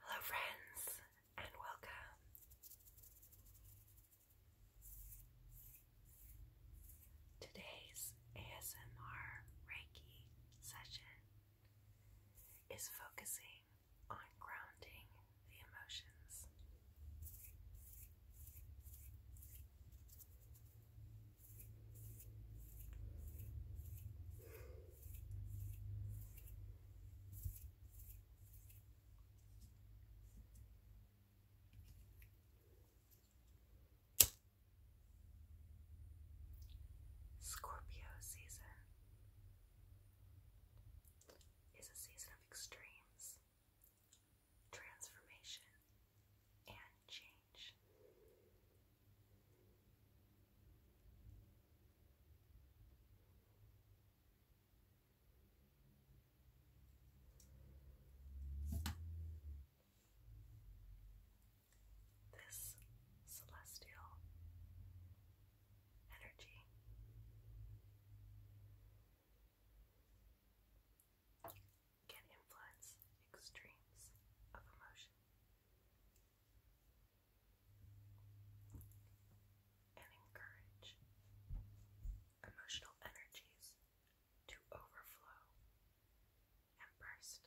Hello, friends, and welcome. Today's ASMR Reiki session is focusing on grounding the emotions. Scorpio season is a season of extremes, transformation, and change. This celestial energy can influence extremes of emotion and encourage emotional energies to overflow and burst.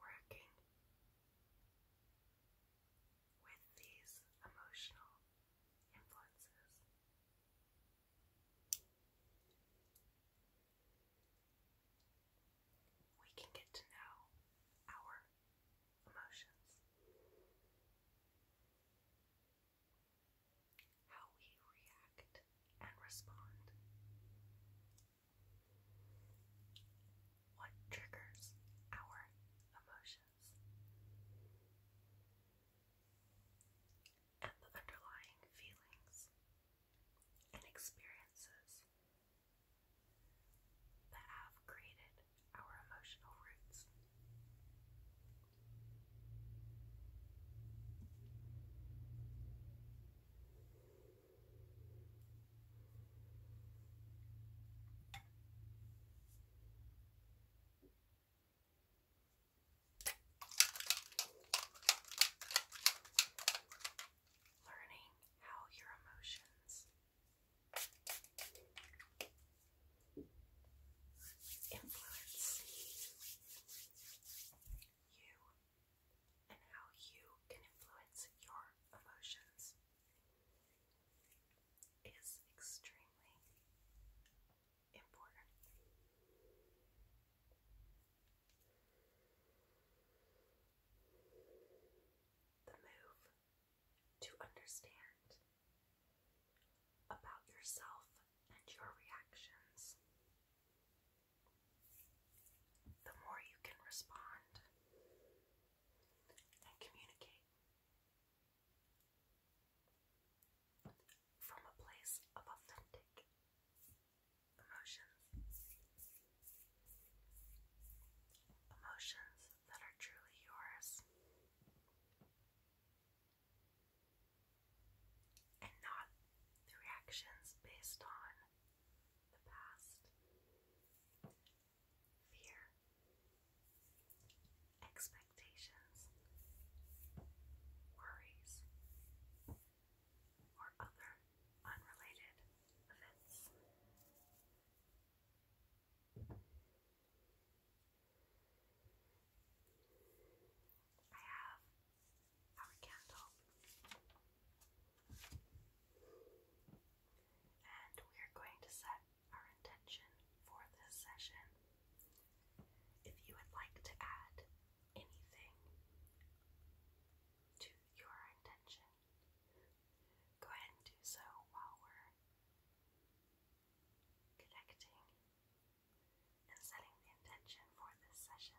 Working with these emotional influences we can get to know our emotions, how we react and respond, what triggers our emotions and the underlying feelings and experiences that have created our emotional roots. Learning how your emotions influence you and how you can influence your emotions is extremely important. The move to understand about yourself and your reactions. The more you can respond and communicate from a place of authentic emotions. Emotions that are truly yours. And not reactions based on the past. Fear, expectations, worries, or other unrelated events. I have our candle, and we are going to set our intention for this session. If you would like to add anything to your intention, go ahead and do so while we're connecting and setting the intention for this session.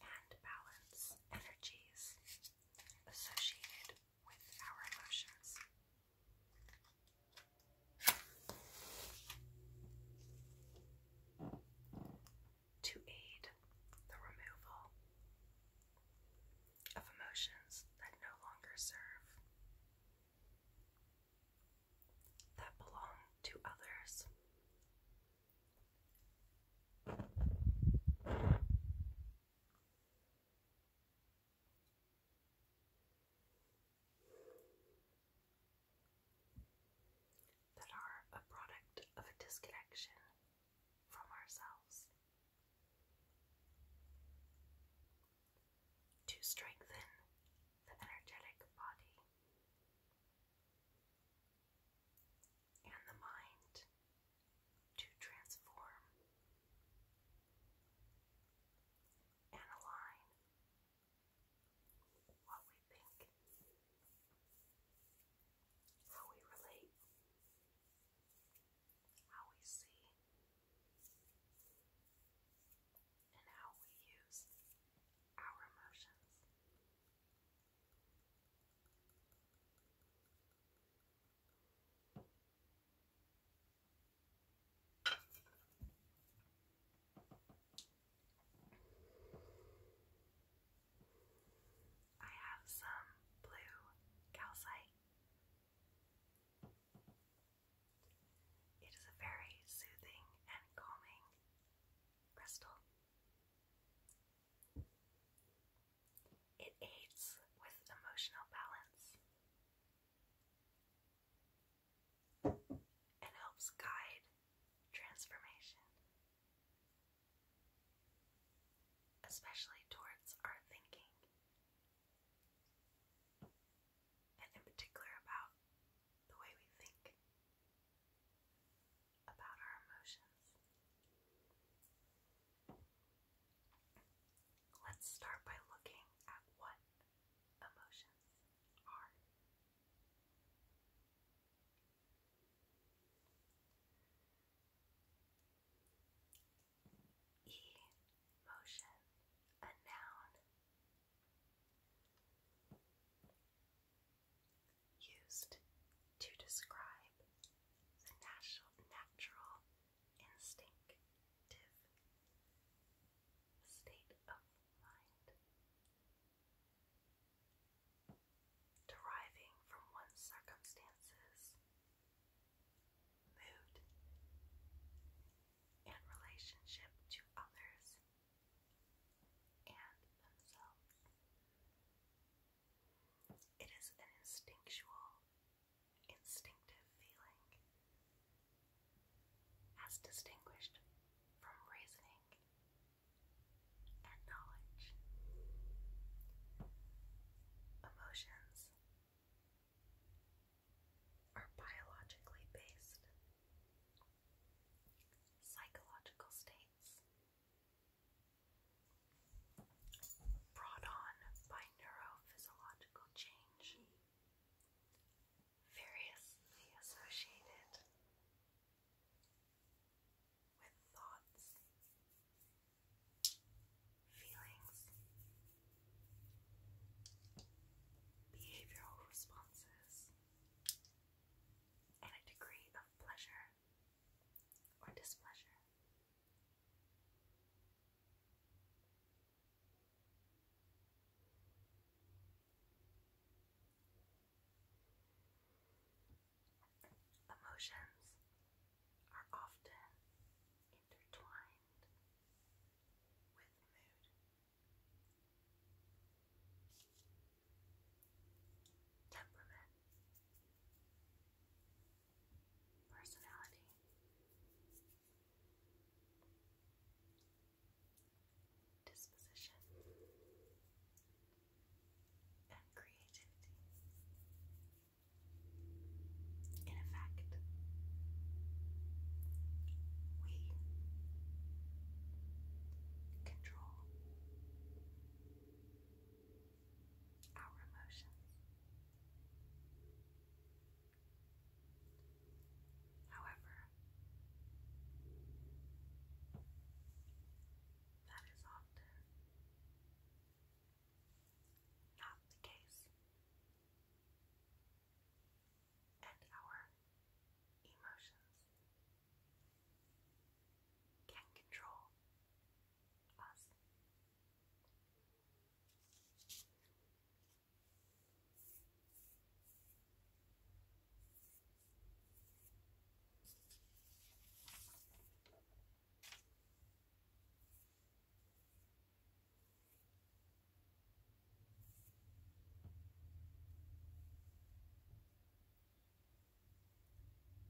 and balance energies associated with our emotions. To aid the removal of emotions that no longer serve, that belong to others. That are a product of a disconnection from ourselves to strengthen the energetic body and the mind to transform and align what we think, how we relate, how we see, and how we use our emotions. I have some blue calcite. It is a very soothing and calming crystal. It aids with emotional balance and helps guide transformation especially towards our thinking, and in particular about the way we think about our emotions. Let's start by looking at what emotions are. E. Motion, a noun. Used to describe the natural instinctive state of mind. Deriving from one's circumstances mood, and relationship to others and themselves. It is an instinctual, instinctive feeling as distinguished from reasoning knowledge. Emotions are biologically based, psychological states brought on by neurophysiological change, variously associated with thoughts feelings, behavioral responses, and a degree of pleasure or displeasure. Emotions are often intertwined with mood. Temperament, personality. Disposition and creativity. In effect, we control our emotions. However, that is often not the case. And our emotions can control us.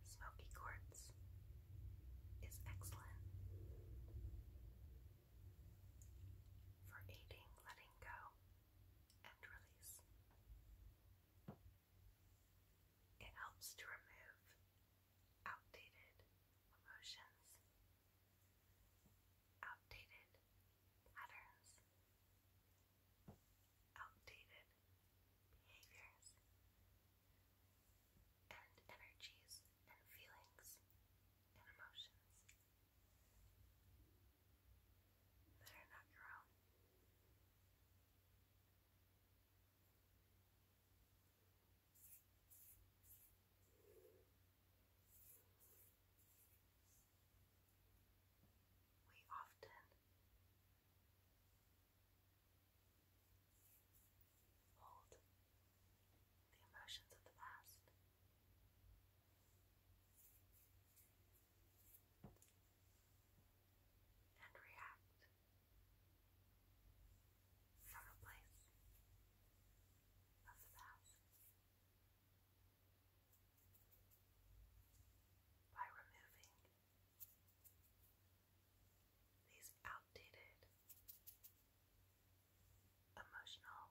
Smoky quartz is excellent for aiding letting go and release. It helps to remove outdated emotions, outdated patterns, outdated behaviors, and energies and feelings and emotions that are not your own. We often hold the emotions of the past. And react from a place of the past. By removing these outdated emotional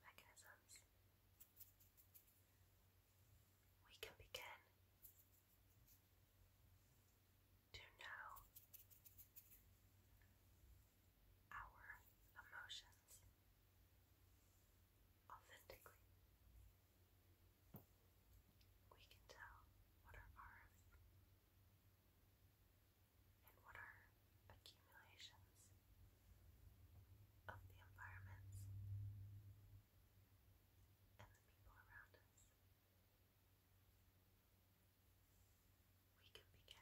mechanisms, we can begin to know our emotions authentically. We can tell what are ours and what are accumulations of the environments and the people around us we can begin to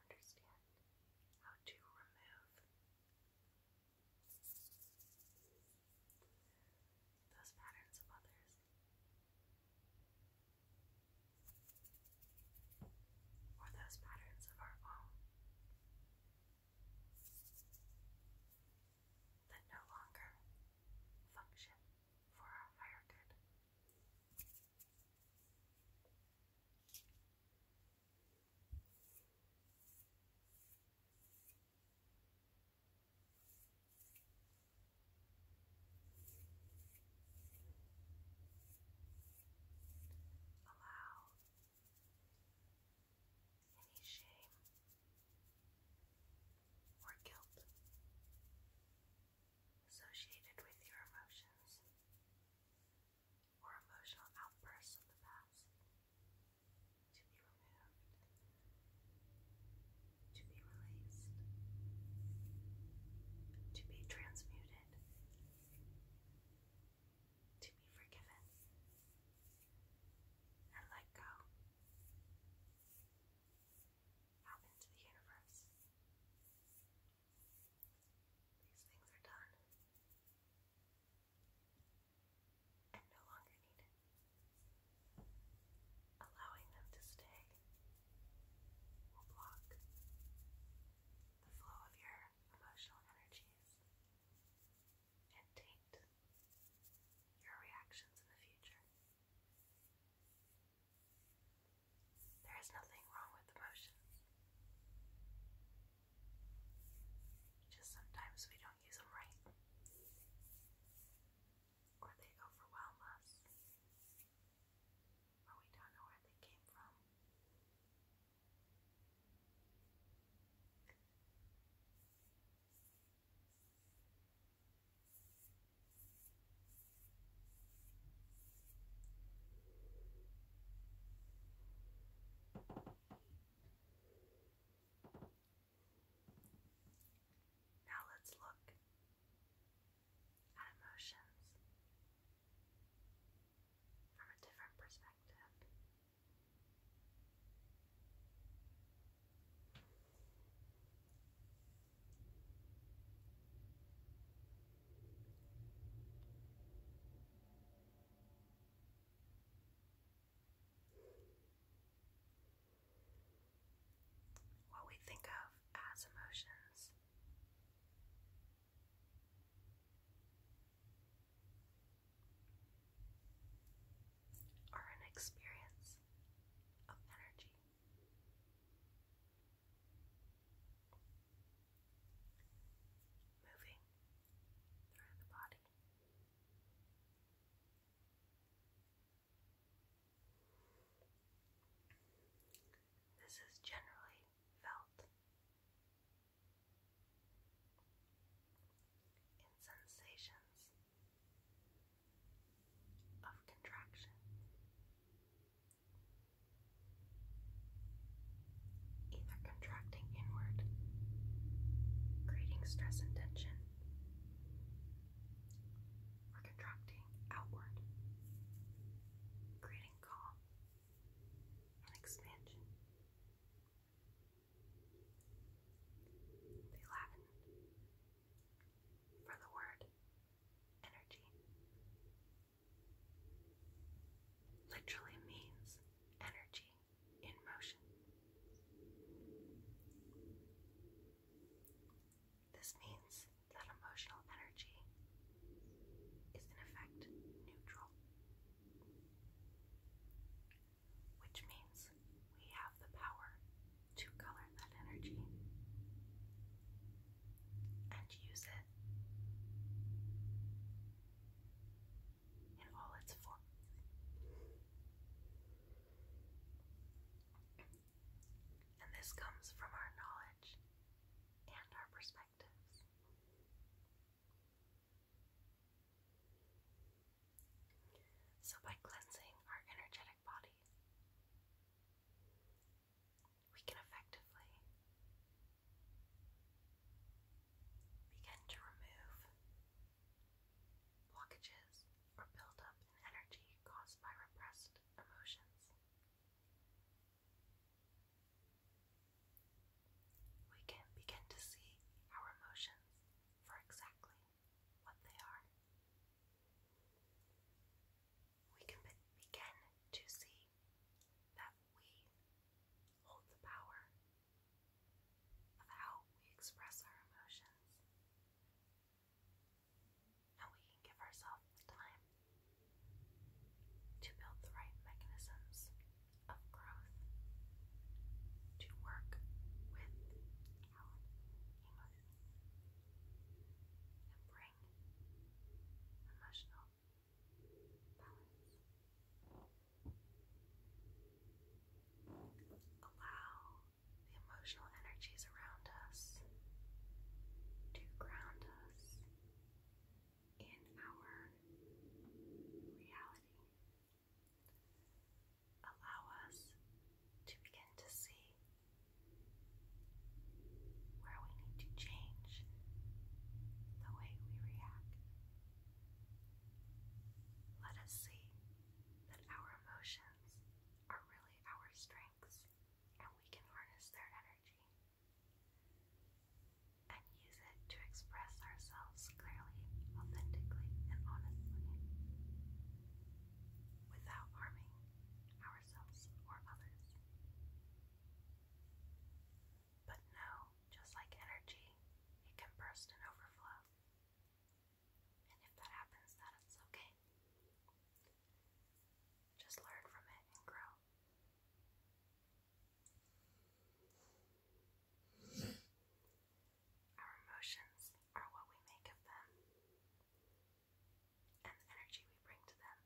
understand how to remove those patterns of others or those patterns of our own that no longer function for our higher good. Allow any shame or guilt associated with your emotions or emotional outbursts of the past to be removed, to be released, to be transmuted, to be forgiven, and let go out into the universe. These things are done and no longer needed, allowing them to stay will block the flow of your emotional energies and taint your reactions in the future. There is nothing wrong with emotions. Just sometimes we don't use them right. Or they overwhelm us. Or we don't know where they came from. Now let's look at emotions from a different perspective. What we think of as emotions are an experience of energy. Moving through the body. This is generally felt in sensations of contraction. Either contracting inward, creating stress and tension, or contracting outward, creating calm and expansion. They laden for the word energy. Literally means energy in motion. This means that emotional energy is in effect neutral, which means we have the power to color that energy and use it in all its forms. And this comes from our knowledge and our perspectives. So, by cleansing our energetic body. We can effectively begin to remove blockages or build in energy caused by repressed emotions. We can begin to see our emotions for exactly what they are. We can begin to see that we hold the power of how we express our emotions, and we can give ourselves time to build the right mechanisms of growth to work with our emotions and bring emotional balance. Allow the emotional energies around us to ground us in our reality allow us to begin to see where we need to change the way we react. Let us see that our emotions are really our strengths and we can harness their energy and use it to express ourselves clearly, authentically, and honestly without harming ourselves, or others. But no, just like energy, it can burst and overflow. And if that happens, that is okay. Just learn from it and grow. Our emotions are what we make of them and the energy we bring to them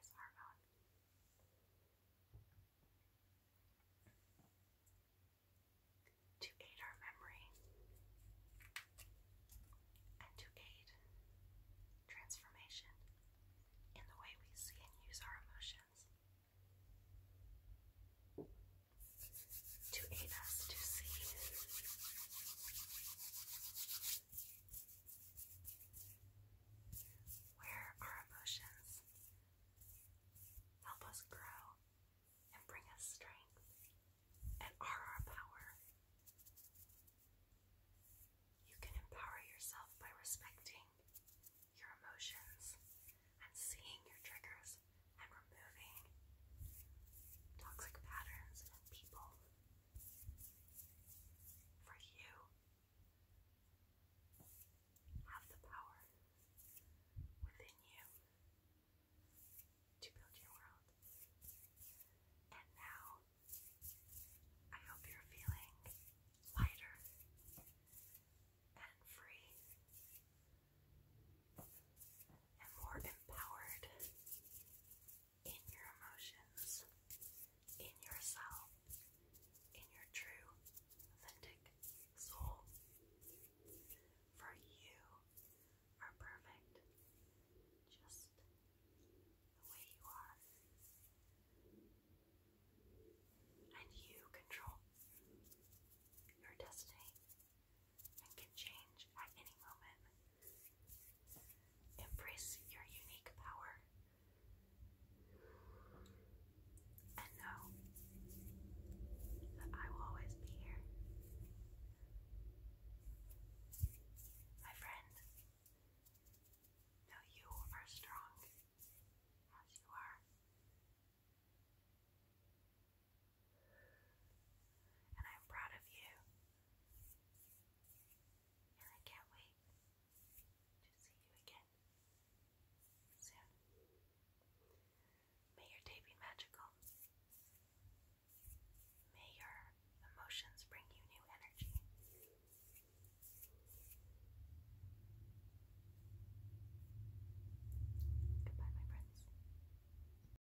is our own. To aid our memory and to aid transformation in the way we see and use our emotions to aid us to see. Where our emotions help us grow and bring us strength and are our power. You can empower yourself by respecting your emotions and seeing your triggers patterns and removing toxic patterns and people for you have the power within you to build your world. And now I hope you're feeling lighter and free and more empowered in your emotions, in yourself, in your true, authentic soul. For you are perfect just the way you are. And you control your destiny and can change at any moment. Embrace your unique power. And know that I will always be here. My friend, know you are strong as you are. And I'm proud of you. And I can't wait to see you again soon. May your day be magical. May your emotions bring you new energy. Goodbye, my friends.